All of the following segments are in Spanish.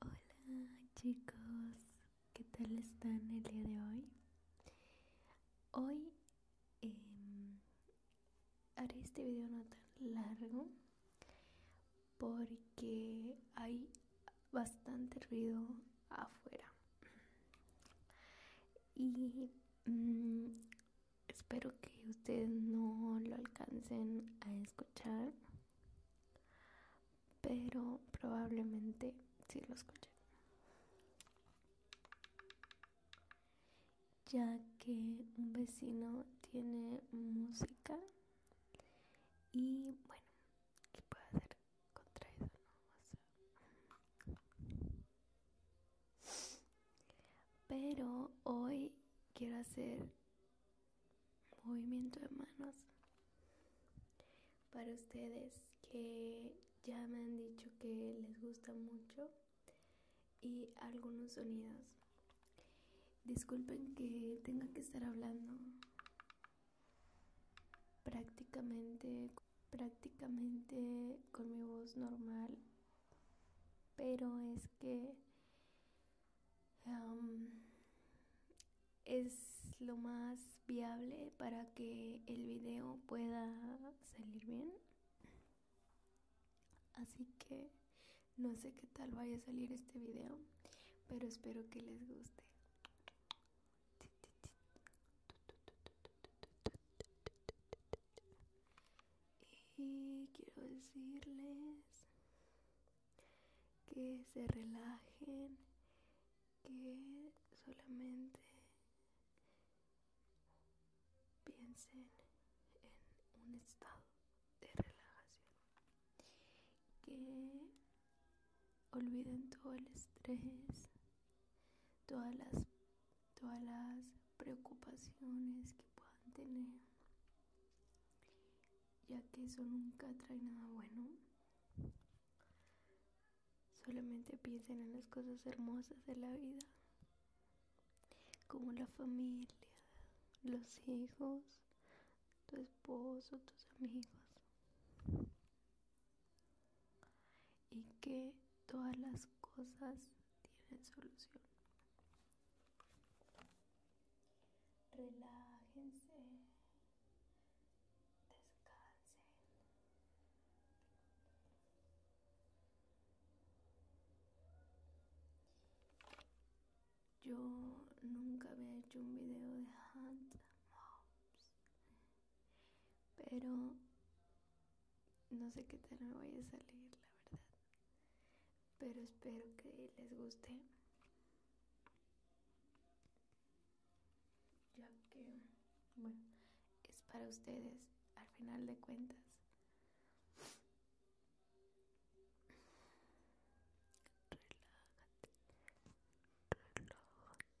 Hola chicos, ¿qué tal están el día de hoy? Hoy em, haré este video no tan largo porque hay bastante ruido afuera. Y mm, espero que ustedes no lo alcancen a escuchar, pero probablemente sí lo escuchen. Ya que un vecino tiene música y bueno, que puede ser contraído, ¿no? Pero hoy quiero hacer movimiento de manos para ustedes que ya me han dicho que les gusta mucho y algunos sonidos. Disculpen que tenga que estar hablando prácticamente prácticamente con mi voz normal pero es que es lo más viable para que el video pueda salir bien. Así que no sé qué tal vaya a salir este video, pero espero que les guste y quiero decirles que se relajen, que solamente piensen en un estado de relajación, que olviden todo el estrés, todas las todas las preocupaciones que puedan tener, ya que eso nunca trae nada bueno. Solamente piensen en las cosas hermosas de la vida, como la familia, los hijos, tu esposo, tus amigos. Y que todas las cosas tienen solución. Relájense, descansen. Yo nunca había hecho un video de Hunt pero no sé qué tal me voy a salir, la verdad. Pero espero que les guste. Ya que, bueno, es para ustedes, al final de cuentas. Relájate. Relájate.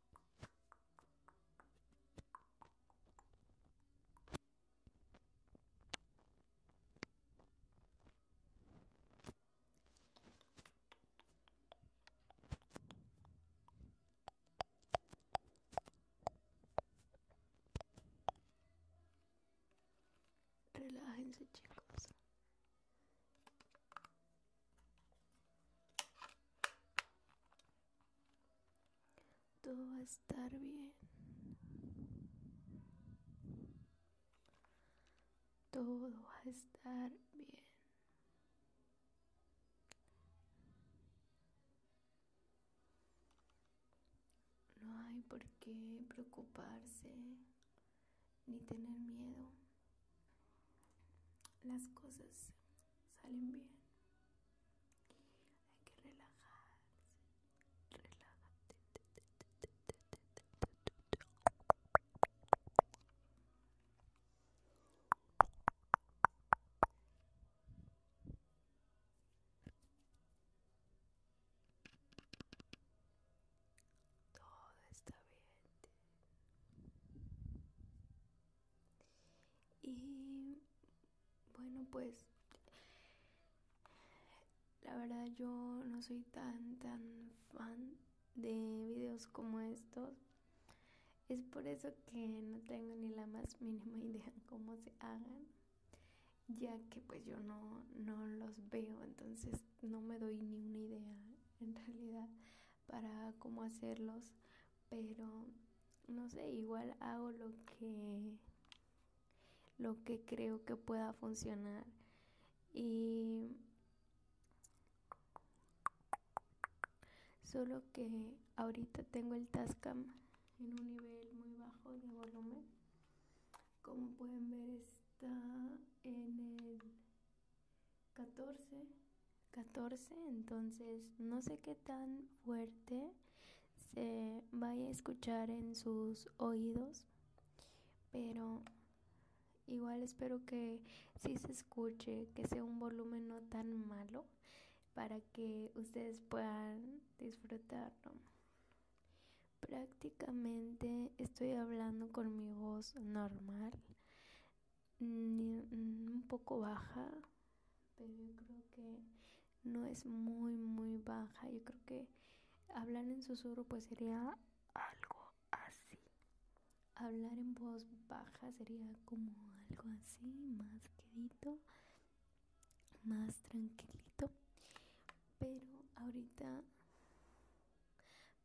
Relájense chicos. Todo va a estar bien. Todo va a estar bien. No hay por qué preocuparse ni tener miedo. Las cosas salen bien. Hay que relajarse. Relájate. Todo está bien. Y bueno, pues la verdad yo no soy tan, tan fan de videos como estos. Es por eso que no tengo ni la más mínima idea cómo se hagan, ya que pues yo no, no los veo, entonces no me doy ni una idea en realidad para cómo hacerlos, pero no sé, igual hago lo que lo que creo que pueda funcionar y solo que ahorita tengo el Tascam en un nivel muy bajo de volumen. Como pueden ver está en el 14. 14, entonces no sé qué tan fuerte se vaya a escuchar en sus oídos, pero igual espero que sí se escuche, que sea un volumen no tan malo para que ustedes puedan disfrutarlo. Prácticamente estoy hablando con mi voz normal. Mm, mm, un poco baja, pero yo creo que no es muy, muy baja. Yo creo que hablar en susurro pues sería algo así. Hablar en voz baja sería como algo así, más quedito, más tranquilito. Pero ahorita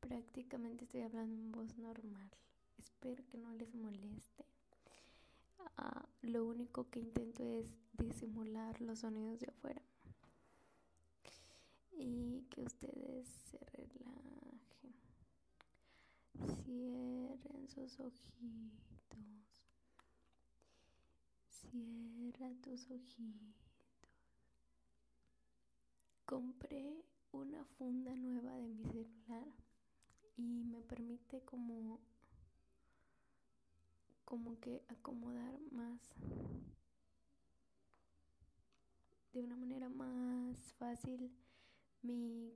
prácticamente estoy hablando en voz normal. Espero que no les moleste. Ah, lo único que intento es disimular los sonidos de afuera. Y que ustedes se relajen. Cierren sus ojitos. Cierra tus ojitos compré una funda nueva de mi celular y me permite como como que acomodar más de una manera más fácil mi,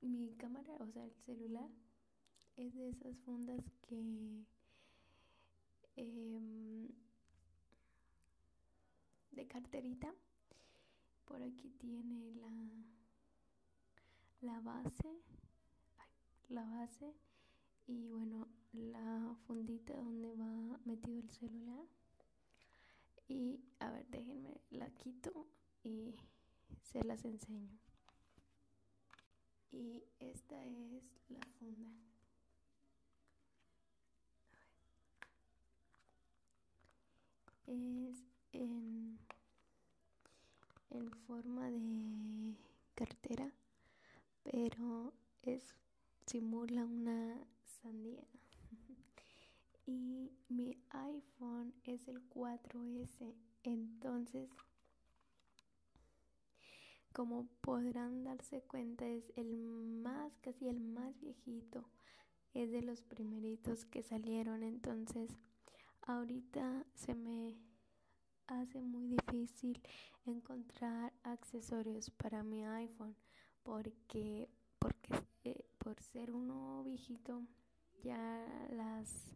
mi cámara, o sea, el celular es de esas fundas que em, de carterita. Por aquí tiene la, la base, la base y bueno, la fundita donde va metido el celular. Y a ver, déjenme, la quito y se las enseño. Y esta es la funda. Es en, en forma de cartera, pero es simula una sandía. y mi iPhone es el 4S, entonces como podrán darse cuenta es el más casi el más viejito es de los primeritos que salieron, entonces ahorita se me hace muy difícil encontrar accesorios para mi iPhone porque porque eh, por ser uno viejito ya las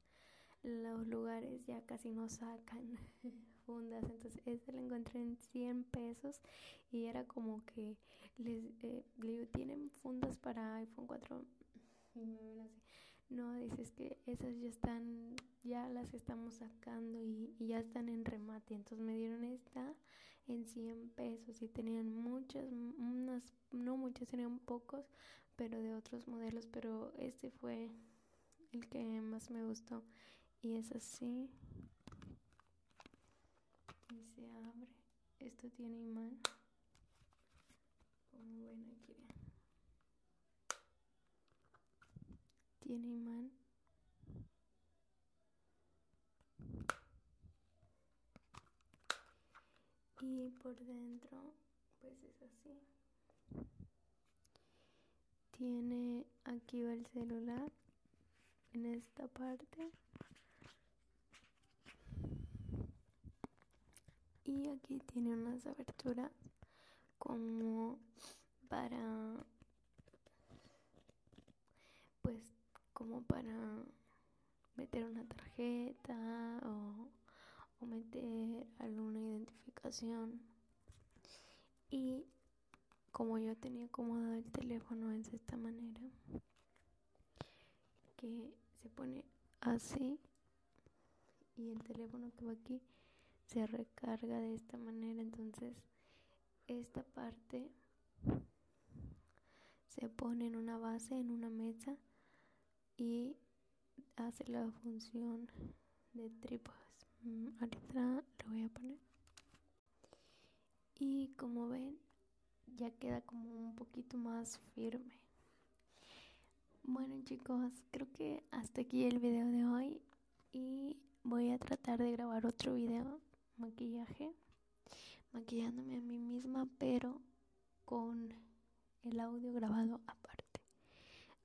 los lugares ya casi no sacan fundas entonces este lo encontré en 100 pesos y era como que les eh, le ¿tienen fundas para iPhone 4? no, dices que esas ya están, ya las estamos sacando y, y ya están en remate. Entonces me dieron esta en 100 pesos y tenían muchas, unas, no muchas, tenían pocos, pero de otros modelos, pero este fue el que más me gustó y es así y se abre. Esto tiene imán, aquí. Tiene imán. Y por dentro, pues es así tiene aquí va el celular en esta parte y aquí tiene unas aberturas como para pues como para meter una tarjeta o, o meter alguna identificación y como yo tenía acomodado el teléfono es de esta manera que se pone así y el teléfono que va aquí se recarga de esta manera entonces esta parte se pone en una base en una mesa y hace la función de tripas mm, ahorita lo voy a poner y como ven, ya queda como un poquito más firme. Bueno chicos, creo que hasta aquí el video de hoy y voy a tratar de grabar otro video maquillaje, maquillándome a mí misma, pero con el audio grabado aparte.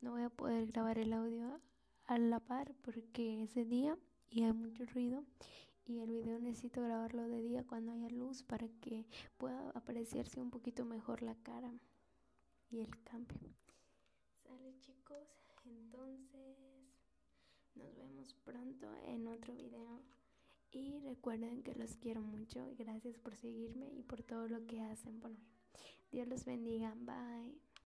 No voy a poder grabar el audio a la par porque es día y hay mucho ruido y el video necesito grabarlo de día cuando haya luz para que pueda apreciarse un poquito mejor la cara y el cambio. Sale chicos, entonces nos vemos pronto en otro video. Y recuerden que los quiero mucho. Y gracias por seguirme y por todo lo que hacen por mí. Dios los bendiga. Bye.